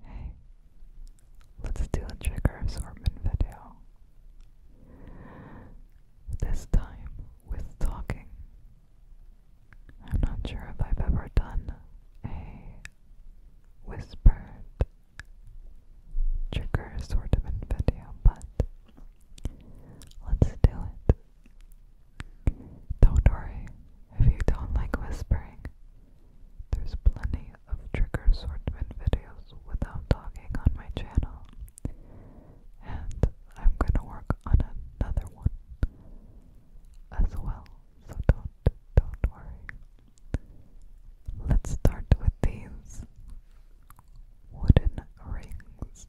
Hey, let's do a trigger assortment video. This time with talking. I'm not sure if I've ever done a whispered trigger assortment video, but let's do it. Don't worry if you don't like whispering. There's plenty of trigger assortment videos without talking on my channel. And I'm gonna work on another one as well, so don't don't worry. Let's start with these wooden rings.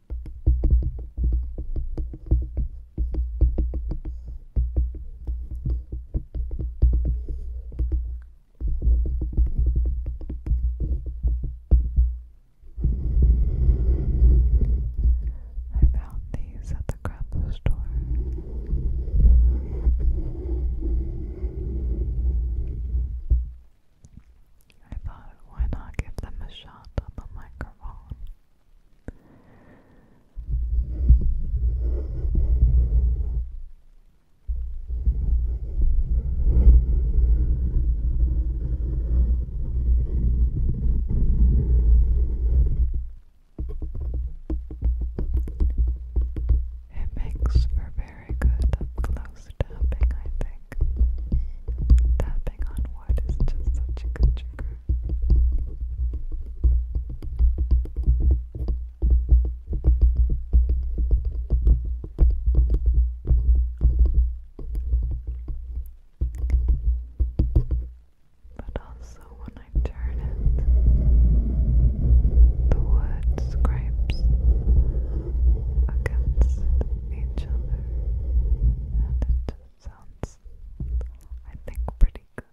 I found these at the craft store. I thought, why not give them a shot on the microphone? It makes for very good up close just tapping, I think. Tapping on wood is just such a good trigger. But also, when I turn it, the wood scrapes against each other, and it sounds, I think, pretty good.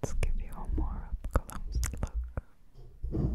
Let's give you a more up close look. Good.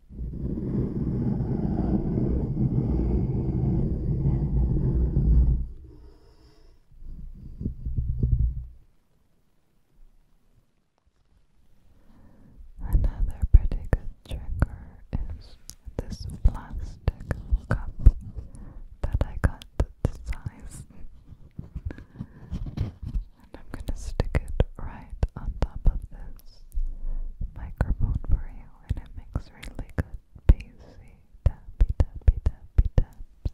Another pretty good trigger is this plastic cup that I got the size. and I'm gonna stick it right on top of this this microphone for you and it makes really good bassy tappy tappy tappy taps.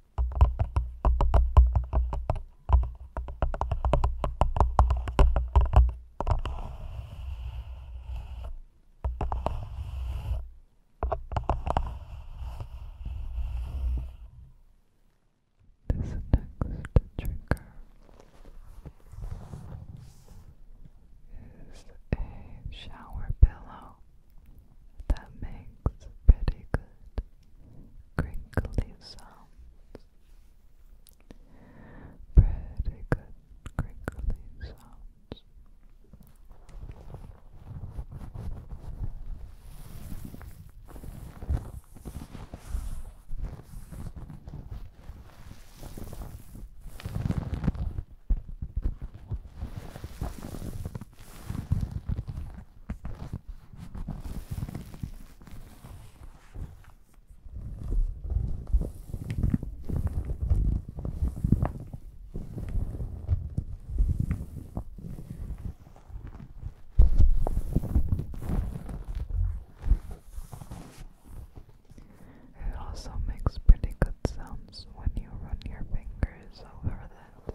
This next trigger is a shower pillow that makes pretty good crinkly sounds. Pretty good crinkly sounds. It also makes pretty good sounds when you run your fingers over that.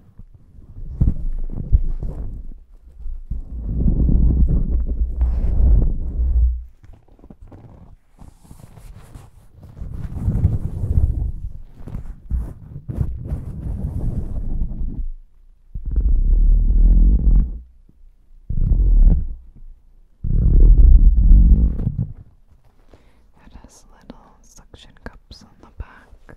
It has little suction cups on the back.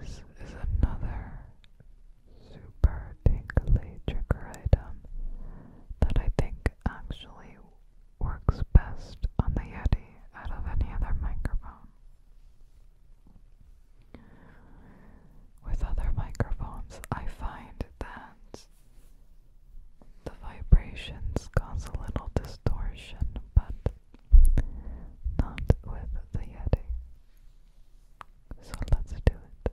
This is another super tingly trigger item that I think actually works best on the Yeti out of any other microphone. With other microphones, I find that the vibrations cause a little distortion, but not with the Yeti. So let's do it.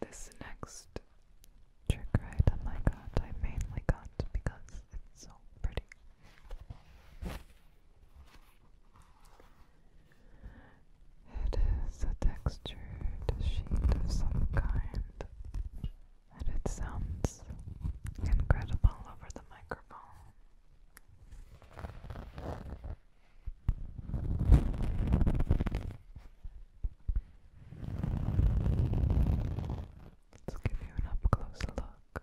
This next trick I oh got, I mainly got because it's so pretty. It is a textured sheet of some kind, and it sounds incredible over the microphone. Let's give you an up close look.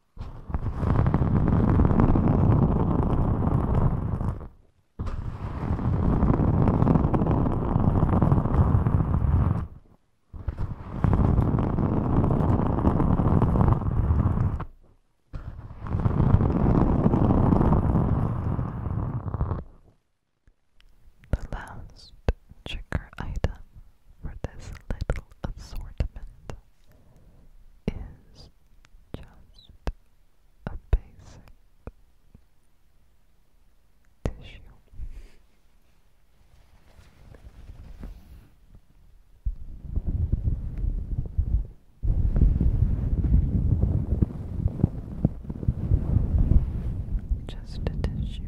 The last trigger item for this little assortment is just a basic tissue. Just a tissue.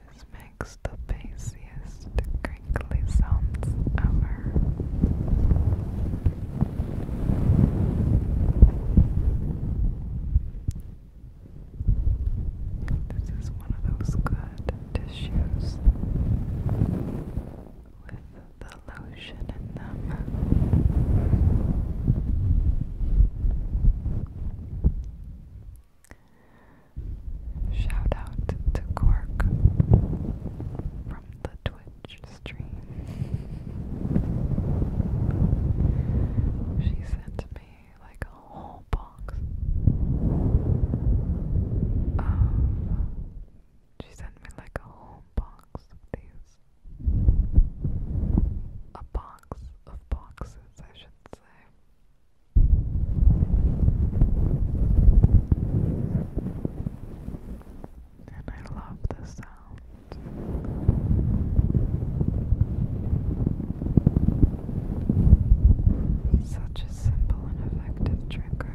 This makes the bassiest crinkly sounds ever. This is one of those good tissues with the lotion in them. Shout out to Cork from the Twitch stream. She sent me like a whole box She sent me like a whole box of these. A box of boxes, I should say. And I love the sound. Such a simple and effective trigger.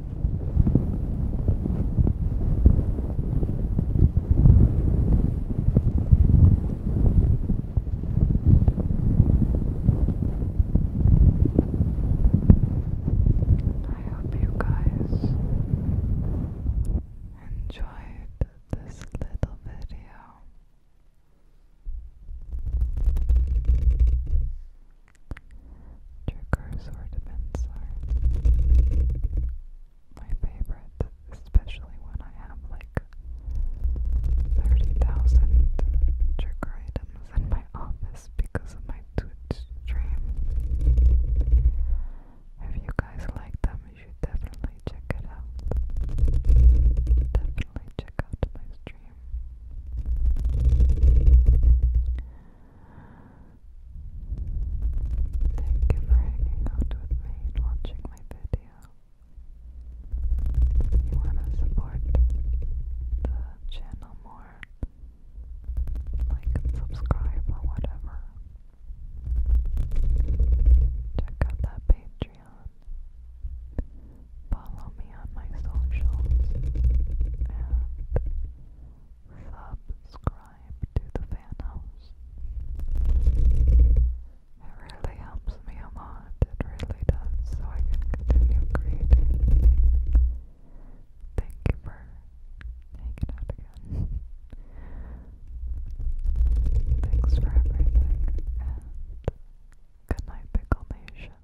I hope you guys enjoyed this little video. Triggers or are my favorite, especially when I have like 30,000 trigger in my office because of my Twitch stream. If you guys like them, you should definitely check it out. Definitely check out my stream. Thank you for hanging out with me and watching my video. you want to support the channel more, like subscribe or whatever, check out that Patreon follow me on my socials and subscribe to the fan house. It really helps me a lot, it really does, so I can continue creating. Thank you for hanging out again. Thanks for everything, and good night, Pickle Nation.